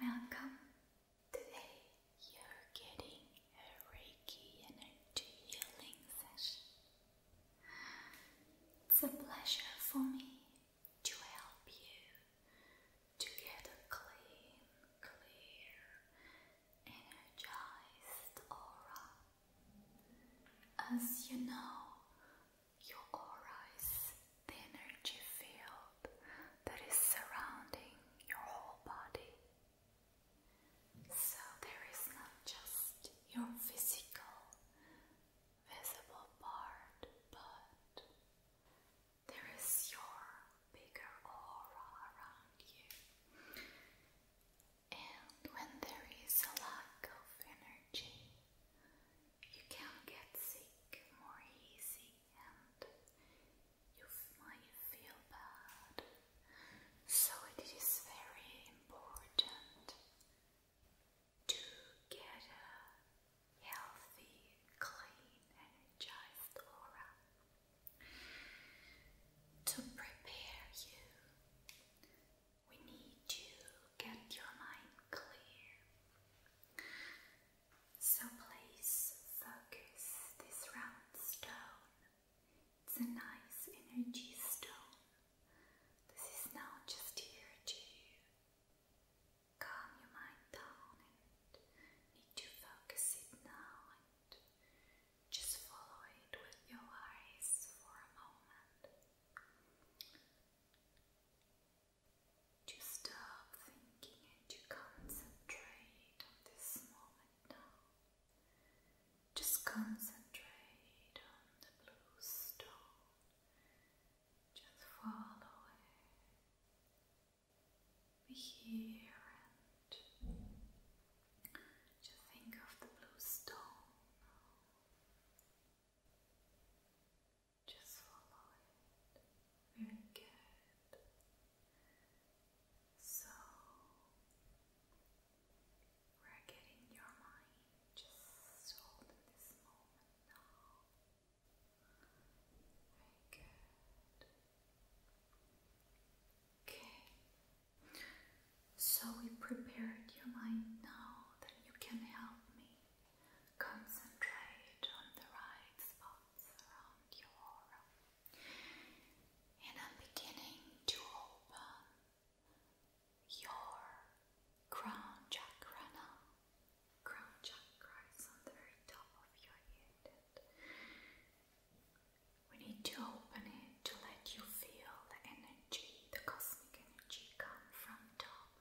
Welcome. Today you're getting a Reiki energy healing session. It's a pleasure for me to help you to get a clean, clear, energized aura. As you know, your aura is the energy field that is surrounding your whole body. So there is not just your physical, visible part, but there is your bigger aura around you. And when there is a lack of energy, you can get sick more easy and you might feel bad. So it is very important to get a healthy, clean, energized aura to prepare you. We need you get your mind clear. So please focus this round stone. It's a nice energy stone. This is now just here to calm your mind down need to focus it now and just follow it with your eyes for a moment to stop thinking and to concentrate on this moment now. Just concentrate on the blue stone. Just follow it. Be here and just think of the blue stone now. Just follow it. Very good. So we're getting your mind just hold in this moment now. Very good. Okay. So we prepared your mind now that you can help me Concentrate on the right spots around your aura. And I'm beginning to open your crown chakra Crown chakra is on the very top of your head. We need to open it to let you feel the energy, the cosmic energy come from top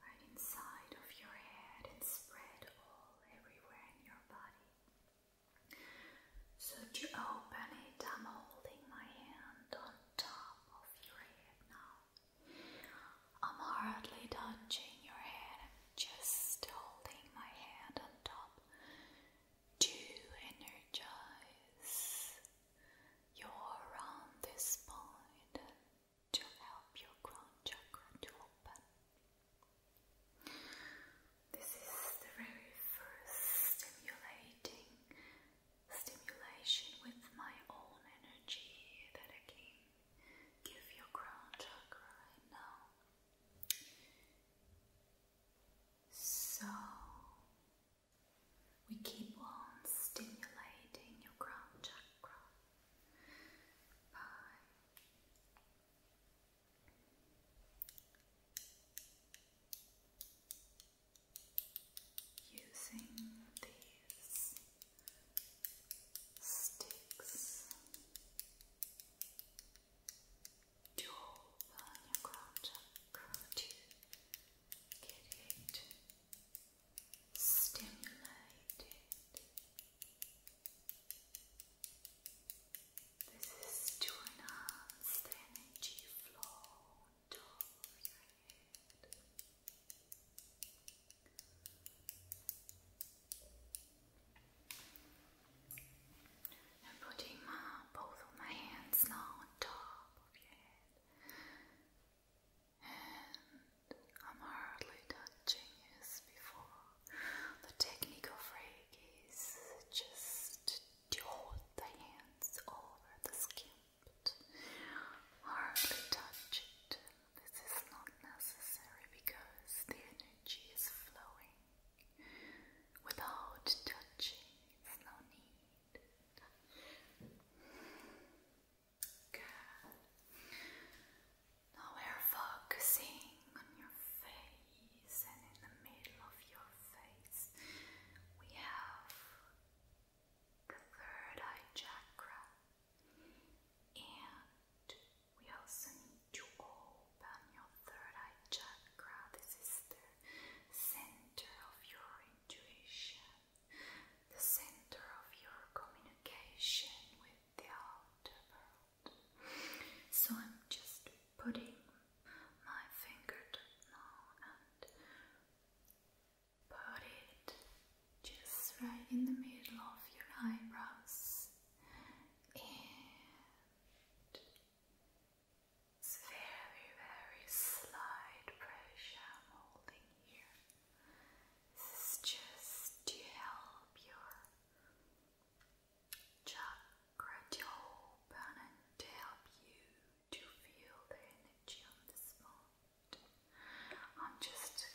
right inside of your head and spread all everywhere in your body. So to open it, I'm holding my hand on top of your head now. I'm hardly touching your head, I'm just holding my hand on top to energize you're around this point to help your crown chakra to open. This is the very first stimulating stimulation with my own energy that I can give your crown chakra now. So we keep on stimulating your crown chakra by using these sticks to open your crown chakra to get stimulated. This is to energy flow I'm putting my, both of my hands now on top of your head and I'm hardly touching as before. The technique of Reiki is just to hold the hands over the skin, but hardly touch it. This is not necessary because the energy is flowing without touching, it's no need. Good. Now we're focusing on your face, and in the middle of your face, we have the third eye chakra, and we also need to open your third eye chakra. This is the center of your intuition, the center of your communication with the outer world. So I'm just putting my fingertip now and put it just right in the middle of your eyebrows it's very, very slight pressure I'm holding here. This is just to help your chakra to and to help you to feel the energy on this spot. I'm just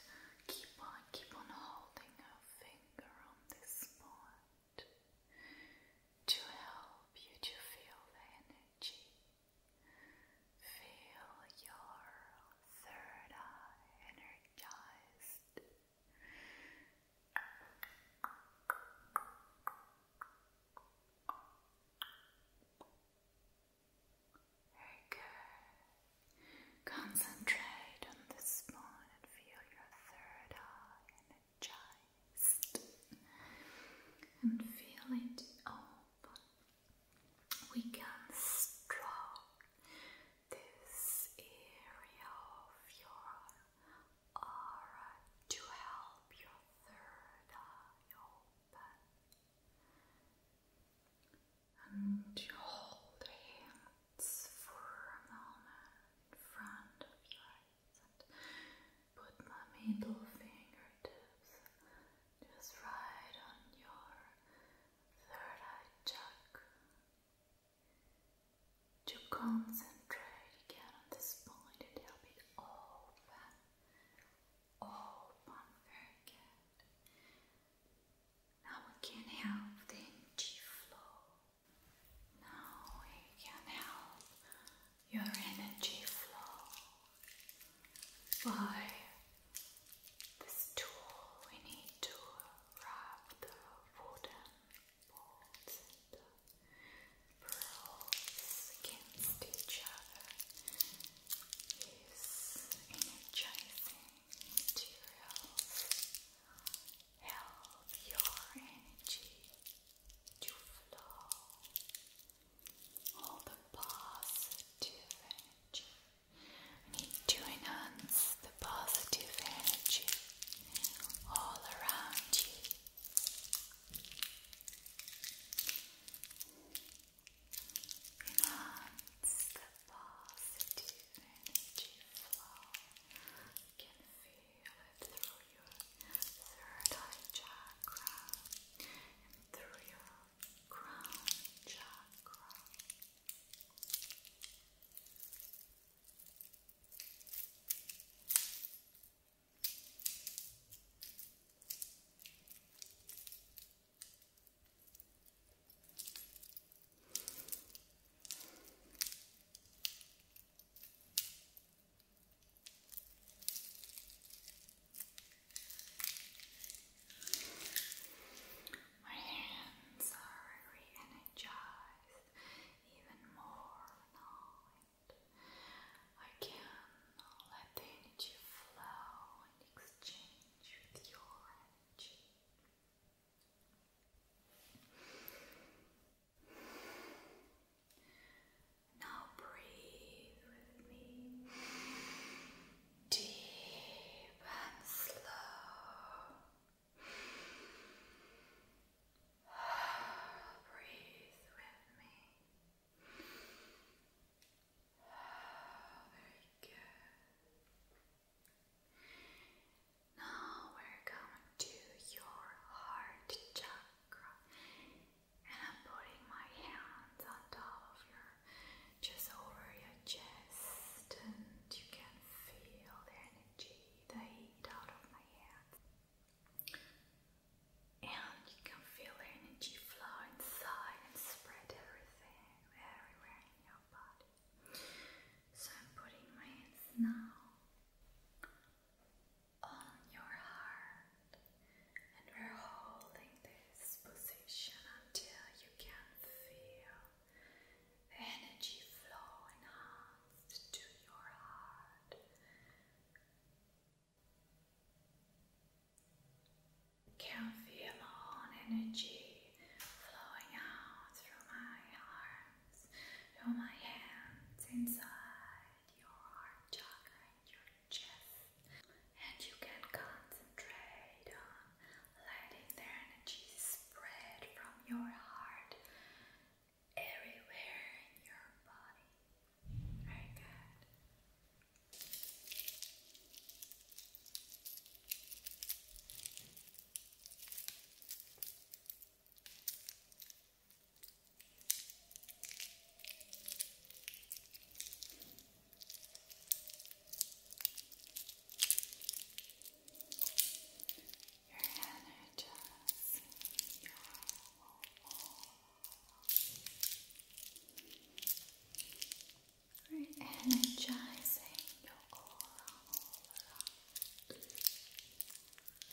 keep on keep on holding a finger on this spot to help you to feel the energy. Feel your third eye energized. Very good. Concentrate on this one and feel your third eye energized and feel it open. We can stroke this area of your aura to help your third eye open. And hold hands for a moment in front of your put my middle fingertips just right on your third eye check to concentrate again on this point and help it open, open, very good. Now we can help the energy flow. Now we can help your energy flow by this tool. We need to wrap the wooden bolts and the pearls against each other. This energizing materials help your energy to flow all the positive energy. We need to enhance the positive energy all around you. Enhance the positive energy flow feel it through your third eye chakra and through your crown chakra. My hands are re even more now, I can let the energy flow and exchange with your energy. Now breathe with me deep and slow. Breathe with me. Very good. Now we're going to your heart chakra. And I'm putting my hands on top of your, just over your chest, and you can feel the energy, the heat out of my hands. And you can feel the energy flow inside and spread everything, everywhere in your body. So I'm putting my hands now on your heart, and we're holding this position until you can feel the energy flow out to your heart. can feel all energy flowing out through my arms, through my hands, inside and your heart chakra and your chest. And you can concentrate on letting the energy spread from your heart everywhere in your body. Very good. You're energizing your aura all around. And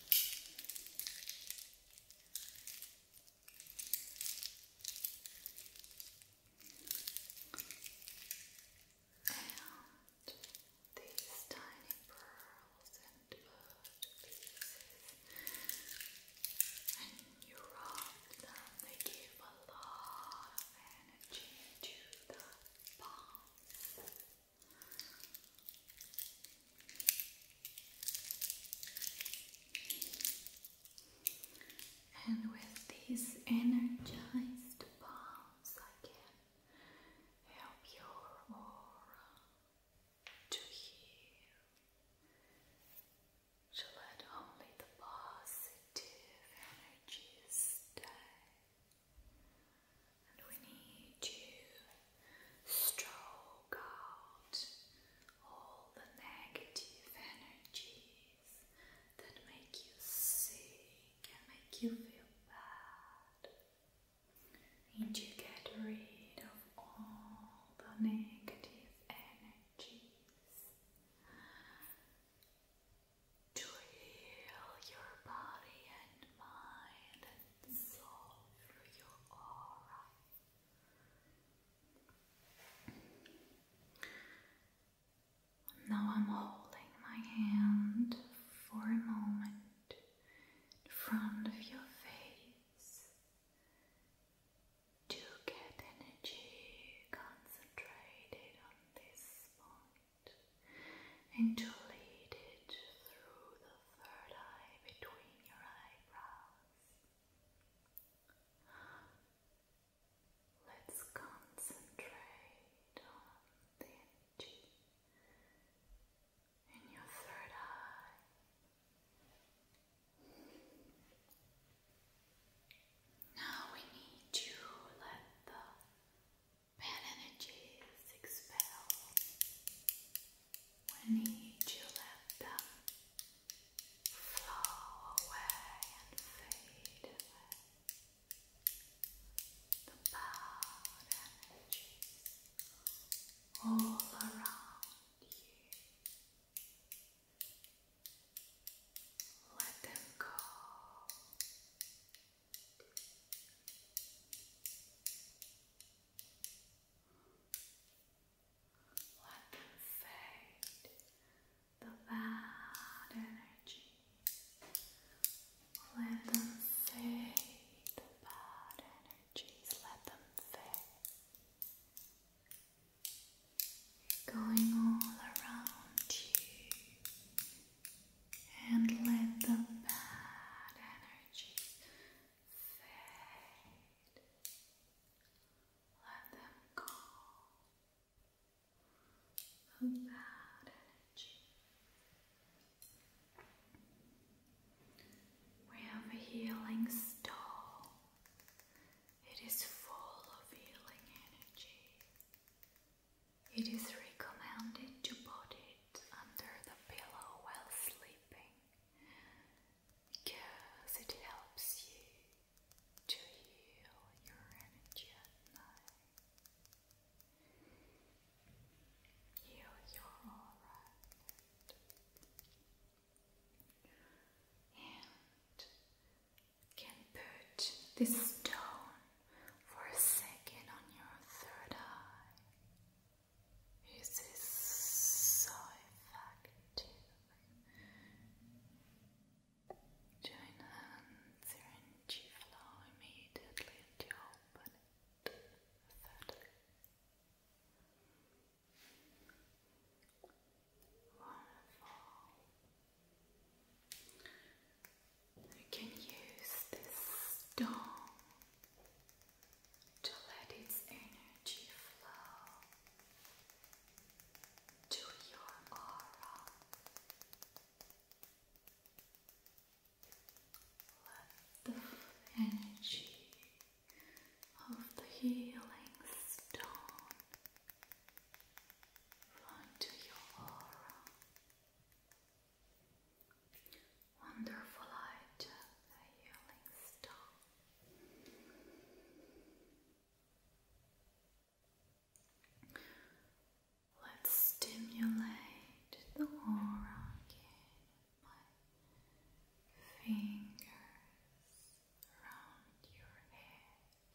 these tiny pearls and bird pieces, and you rub them, they give a lot of energy to the palms. And with these energized palms, I can help your aura to heal, to let only the positive energy stay. And we need you stroke out all the negative energies that make you sick and make you feel bad. And you get rid of all the negative energies to heal your body and mind soul through your aura. Now I'm holding my hand for a moment in front of your face to get energy concentrated on this point and to lead it through the third eye between your eyebrows. Let's concentrate on the energy in your third eye. Now we need to let the Bad energies expel when you let them flow away and fade away. The bad energies all around you. Let them go. Let them fade the bad energy. Let them fade the bad energies. Let them fade. Going all around you and let the bad energy fade. Let them go. The bad energy. We have a healing stone. It is full of healing energy. It is recommended to put it under the pillow while sleeping because it helps you to heal your energy at night. Heal your aura. And can put this stone for a second on your third eye. This so effective. Join hands, your energy immediately open it. Thirdly. Wonderful. You can use this stone to let its energy flow to your aura. Let the energy of the healing stone run to your aura. Wonderful light of the healing stone. Let's stimulate the aura again. fingers around your head.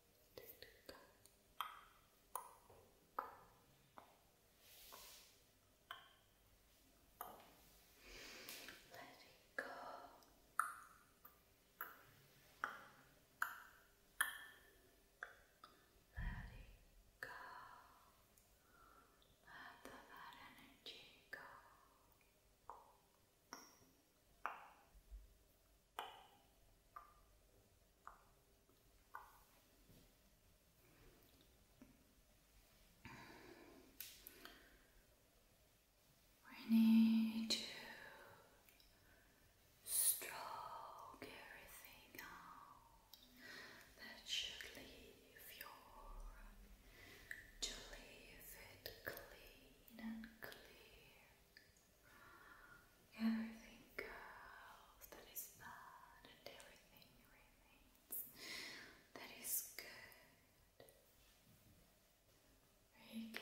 Let it go. Let it go. Let the bad energy go. We need to stroke everything out that should leave your to leave it clean and clear. Everything goes that is bad and everything remains that is good. Good.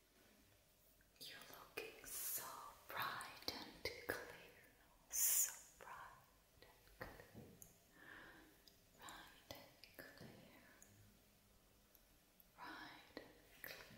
you're looking so bright and clear, so bright and clear, bright and clear, bright and clear.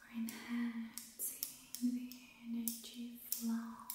We're enhancing the energy flow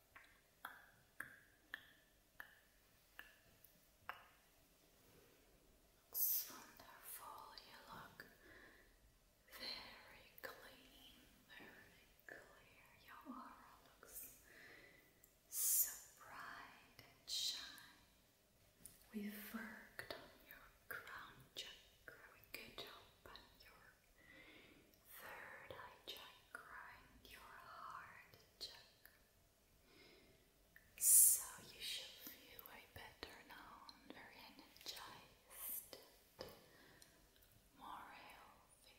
Looks wonderful. You look very clean, very clear. Your aura looks so bright and shine. we worked on your crown chakra. We could open your Third eye chakra and your heart chakra. So you should feel way better now very energized, more healthy.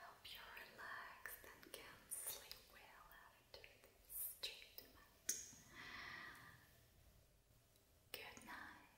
Help you relax and can sleep well after this treatment. Good night.